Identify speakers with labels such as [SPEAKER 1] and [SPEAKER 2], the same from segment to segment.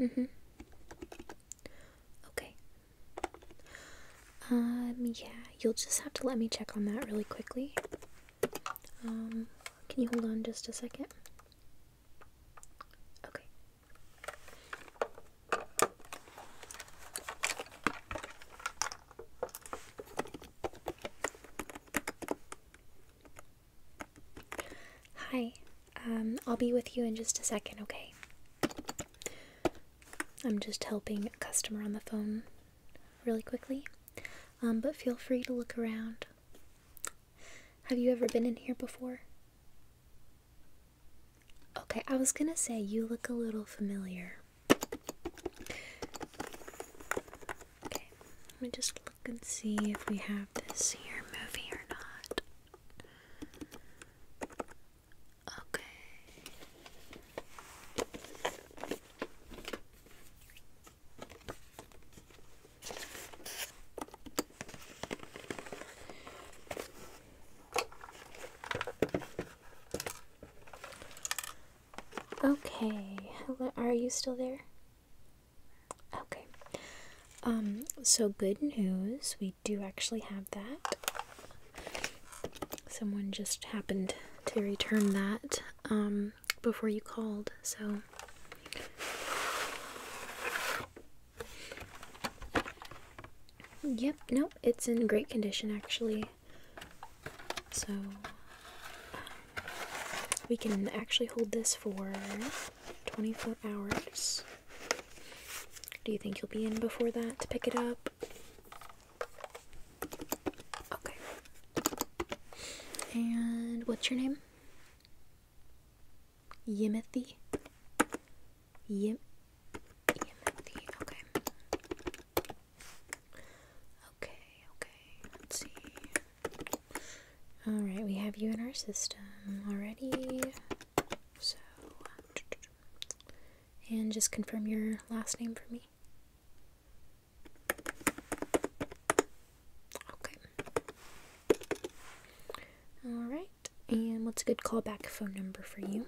[SPEAKER 1] Mm-hmm. Okay. Um, yeah, you'll just have to let me check on that really quickly. Um, can you hold on just a second? Okay. Hi. Um, I'll be with you in just a second, okay? I'm just helping a customer on the phone really quickly. Um, but feel free to look around. Have you ever been in here before? Okay, I was gonna say you look a little familiar. Okay, let me just Let's see if we have this here movie or not. Okay. Okay, are you still there? Okay. Um, so good news, we do actually have that. Someone just happened to return that um, before you called, so. Yep, no, it's in great condition actually. So, we can actually hold this for 24 hours. Do you think you'll be in before that to pick it up? Okay. And what's your name? Yimothy? Yim. Yimothy, okay. Okay, okay. Let's see. Alright, we have you in our system already. So, and just confirm your last name for me. Okay. Alright, and what's a good callback phone number for you?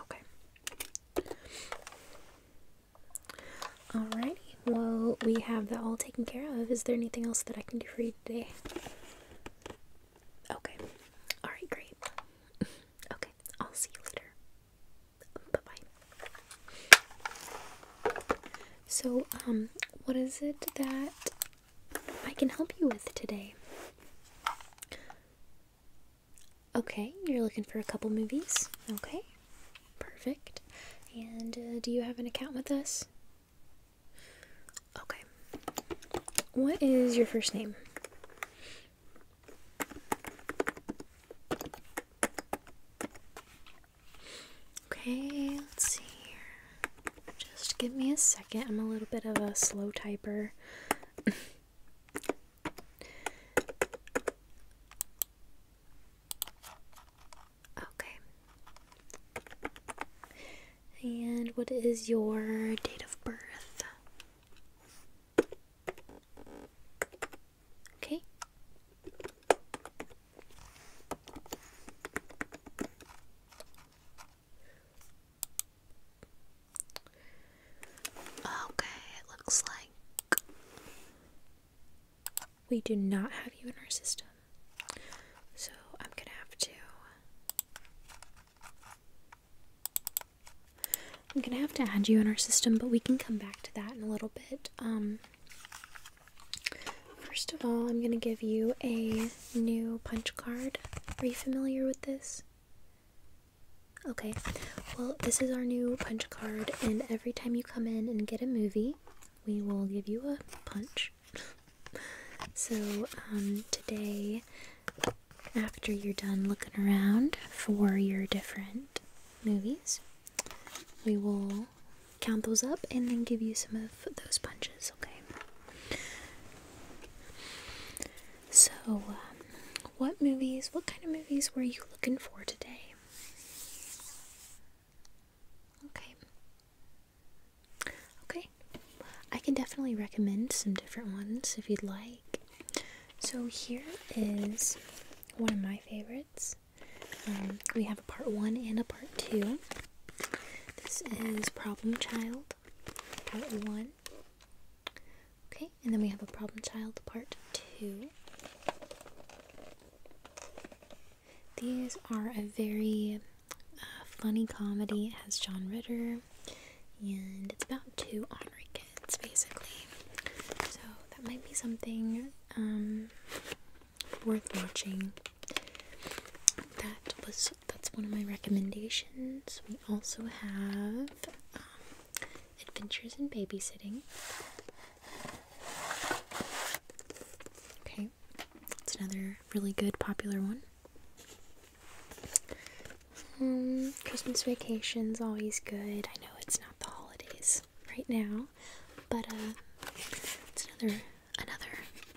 [SPEAKER 1] Okay. Alrighty. Well, we have that all taken care of. Is there anything else that I can do for you today? Okay. Alright, great. Okay. I'll see you later. Bye bye. So, um, what is it that I can help you with today? Okay, you're looking for a couple movies. Okay, perfect. And uh, do you have an account with us? Okay. What is your first name? Okay, let's see here. Just give me a second. I'm a little bit of a slow typer. Okay. And what is your date of birth? Okay. Okay, it looks like we do not have you in our system. So I'm gonna have to. I'm gonna have to add you in our system, but we can come back to that in a little bit. Um, first of all, I'm gonna give you a new punch card. Are you familiar with this? Okay, well, this is our new punch card, and every time you come in and get a movie, we will give you a punch. so, um, today, after you're done looking around for your different movies, we will count those up and then give you some of those punches, okay? So, um, what movies, what kind of movies were you looking for today? Okay. Okay. I can definitely recommend some different ones if you'd like. So, here is one of my favorites. Um, we have a part one and a part two. This is Problem Child, part one. Okay, and then we have a problem child part two. These are a very uh, funny comedy. It has John Ritter, and it's about two honorary kids, basically. So that might be something um, worth watching. That was that's one of my recommendations. We also have um, Adventures in Babysitting. Okay, it's another really good popular one. Um, Christmas vacation's always good. I know it's not the holidays right now, but uh, it's another another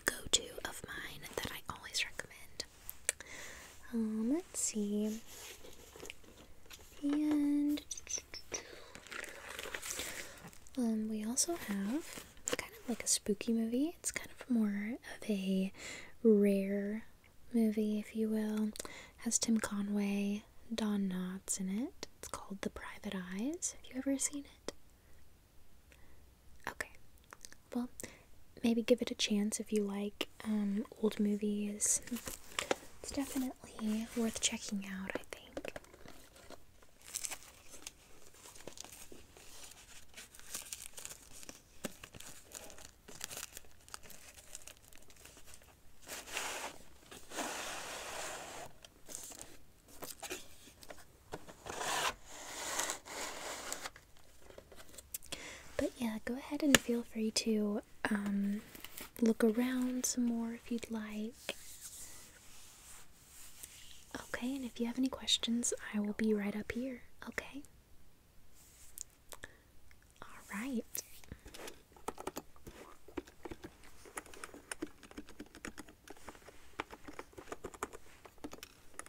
[SPEAKER 1] go-to of mine that I always recommend. Um, let's see. And um, we also have kind of like a spooky movie. It's kind of more of a rare movie, if you will. has Tim Conway, Don Knotts in it. It's called The Private Eyes. Have you ever seen it? Okay well, maybe give it a chance if you like um, old movies. It's definitely worth checking out, I think. But yeah, go ahead and feel free to um, look around some more if you'd like. Okay, and if you have any questions, I will be right up here, okay? Alright.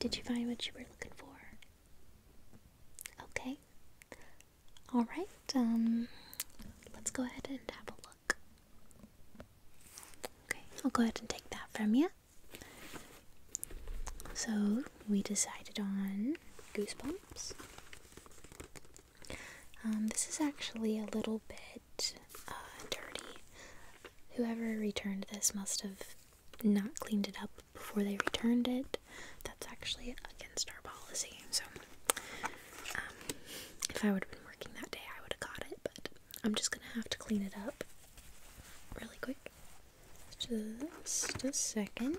[SPEAKER 1] Did you find what you were looking for? Okay. All right. Um, let's go ahead and have a look. Okay, I'll go ahead and take that from you. So we decided on goosebumps. Um, this is actually a little bit uh, dirty. Whoever returned this must have not cleaned it up before they returned it. That's actually against our policy. So, um, if I would have been working that day, I would have got it but I'm just gonna have to clean it up really quick. Just a second.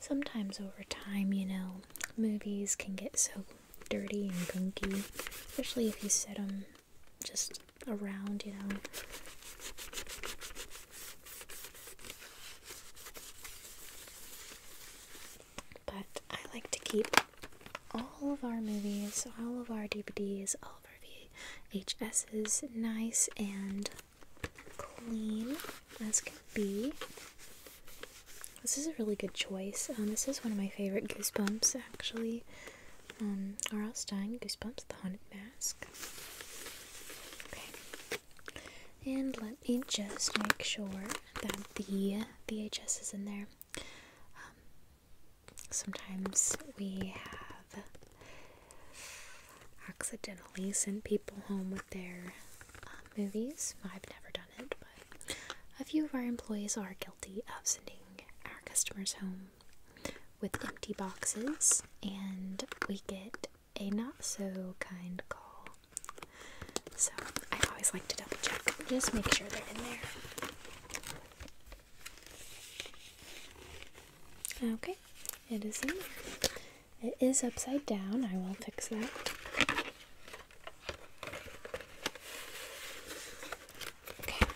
[SPEAKER 1] Sometimes over time, you know, movies can get so dirty and gunky, especially if you set them just around, you know. But I like to keep all of our movies, all of our DVDs, all of our VHSs nice and clean as can be. This is a really good choice. Um, this is one of my favorite Goosebumps, actually. Um, R.L. Stein, Goosebumps, The Haunted Mask. Okay. And let me just make sure that the VHS is in there. Um, sometimes we have accidentally send people home with their um, movies. I've never done it, but a few of our employees are guilty of sending our customers home with empty boxes, and we get a not so kind call. So I always like to double check, just make sure they're in there. Okay, it is in there. It is upside down. I will fix that. Okay.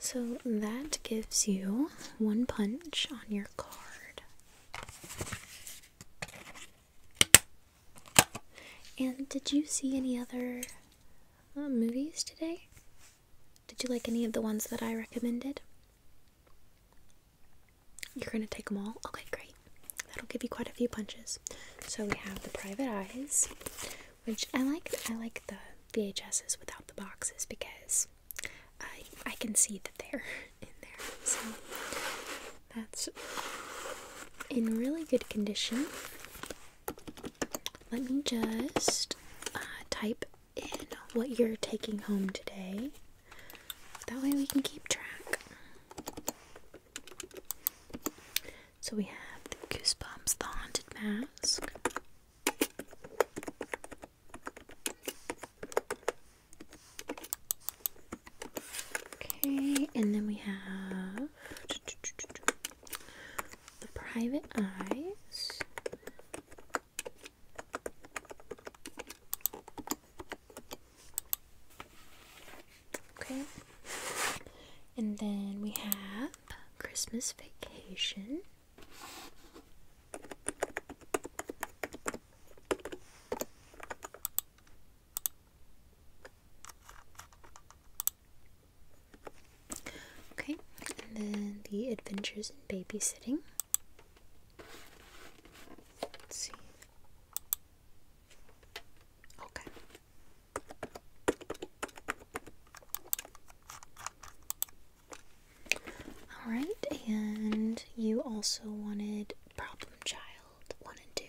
[SPEAKER 1] So that gives you one punch on your card. And did you see any other um, movies today. Did you like any of the ones that I recommended? You're gonna take them all? Okay, great. That'll give you quite a few punches. So we have the Private Eyes, which I like. I like the VHSs without the boxes because I I can see that they're in there. So that's in really good condition. Let me just uh, type in what you're taking home today. That way we can keep track. So we have Goosebumps, the Haunted Mask. Okay, and then we have the private eyes. Okay. And then we have Christmas Vacation. Okay, and then the adventures in babysitting. Let's see. Okay. All right, and you also wanted Problem Child 1 and 2.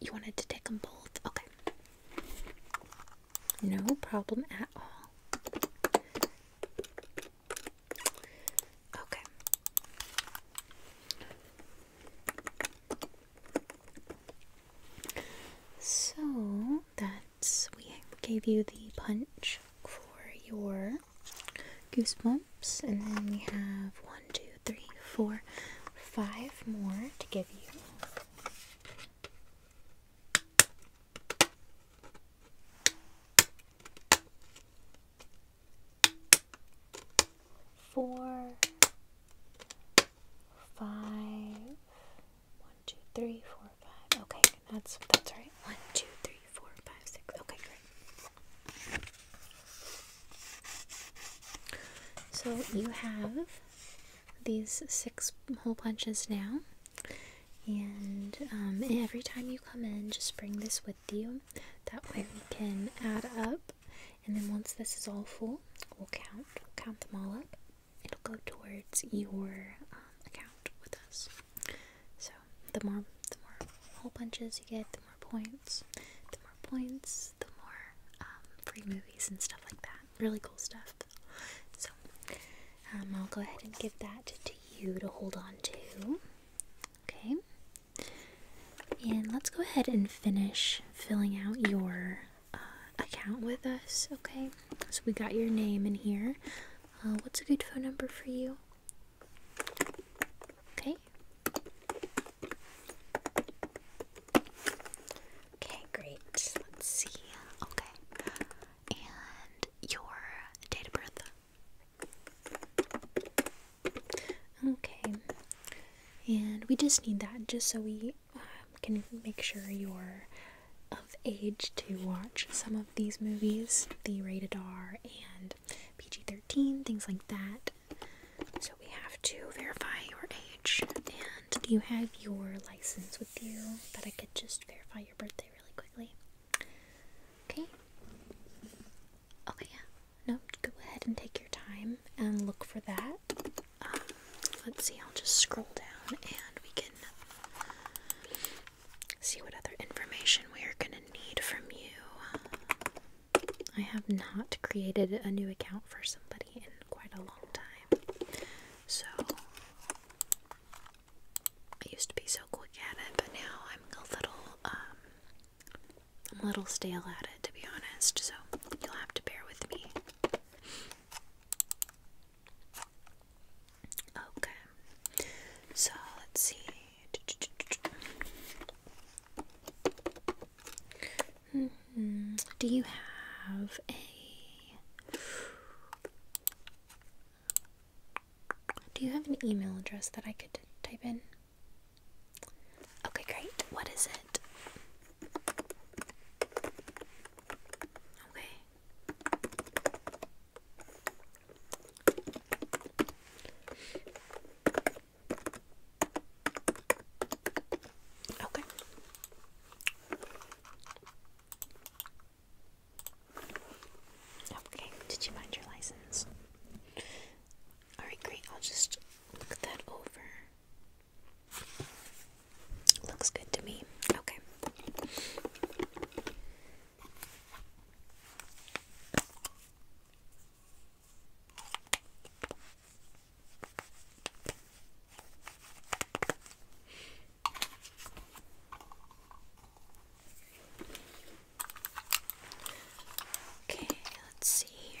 [SPEAKER 1] You wanted to take them both? Okay. No problem at all. Okay. So that's we gave you the punch for your goosebumps, and then we have one, two, three, four, five more to give you. Four, five, one, two, three, four, five. Okay, that's that's right. One, two, three, four, five, six. Okay, great. So you have these six hole punches now, um, and every time you come in, just bring this with you. That way we can add up, and then once this is all full, we'll count, count them all up. It'll go towards your um, account with us. So the more the more hole punches you get, the more points. The more points, the more um, free movies and stuff like that. Really cool stuff. So um, I'll go ahead and give that to you to hold on to. Okay. And let's go ahead and finish filling out your uh, account with us. Okay. So we got your name in here. Uh, what's a good phone number for you? Okay. Okay, great. Let's see. Okay. And your date of birth. Okay. And we just need that just so we um, can make sure you're of age to watch some of these movies the rated R and PG 13, things like that. So we have to verify your age. And do you have your license with you that I could just verify your birthday really quickly? Okay. Okay, yeah. No, go ahead and take your time and look for that. Um, let's see, I'll just scroll down and we can see what other information we are going to need from you. I have not created a new account for somebody in quite a long time. So I used to be so quick at it, but now I'm a little um a little stale at it to be honest, so you'll have to bear with me. Okay. So let's see. Mm-hmm. Do you have a do you have an email address that I could type in? Okay, great. What is it? Okay. Okay. Okay, did you find your license? Alright, great. I'll just look that over. Looks good to me. Okay. Okay, let's see here.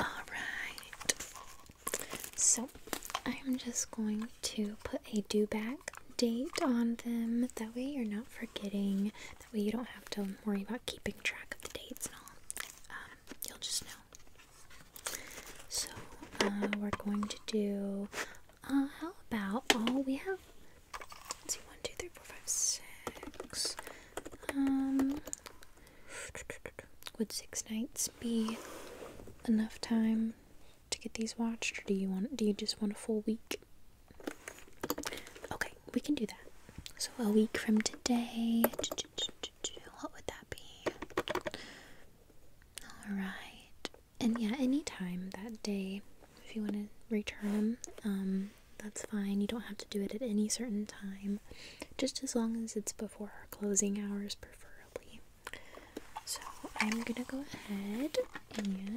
[SPEAKER 1] Alright, so I'm just going to put a due back date on them. That way you're not forgetting. That way you don't have to worry about keeping track of the dates and all. Um, you'll just know. So uh, we're going to do. Uh, how about? Oh, we have. Let's see, one, two, three, four, five, six. Um, would six nights be enough time to get these watched, or do you want? Do you just want a full week? Okay, we can do that. So a week from today. What would that be? All right. And yeah, anytime that day, if you want to return them, um, that's fine. You don't have to do it at any certain time, just as long as it's before our closing hours, preferably. So I'm gonna go ahead and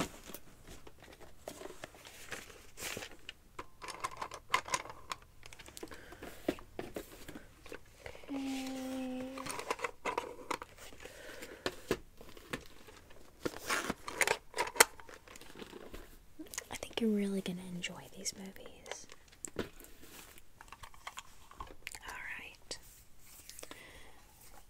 [SPEAKER 1] Okay. I think you're really going to enjoy these movies. All right.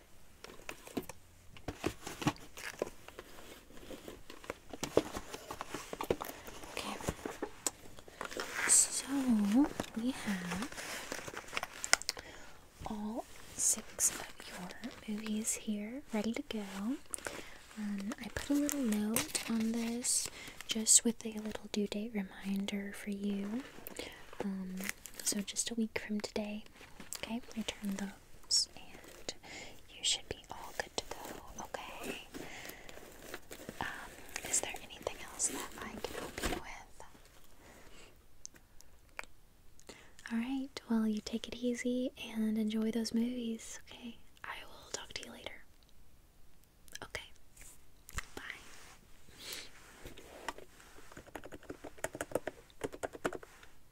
[SPEAKER 1] Okay. So we have all six of your movies here ready to go. Um, I put a little note on this just with a little due date reminder for you. Um, so just a week from today, okay, return those and you should be all good to go, okay? Um, is there anything else that I can help you with? Alright, well, you take it easy and enjoy those movies, okay? I will talk to you later. Okay. Bye.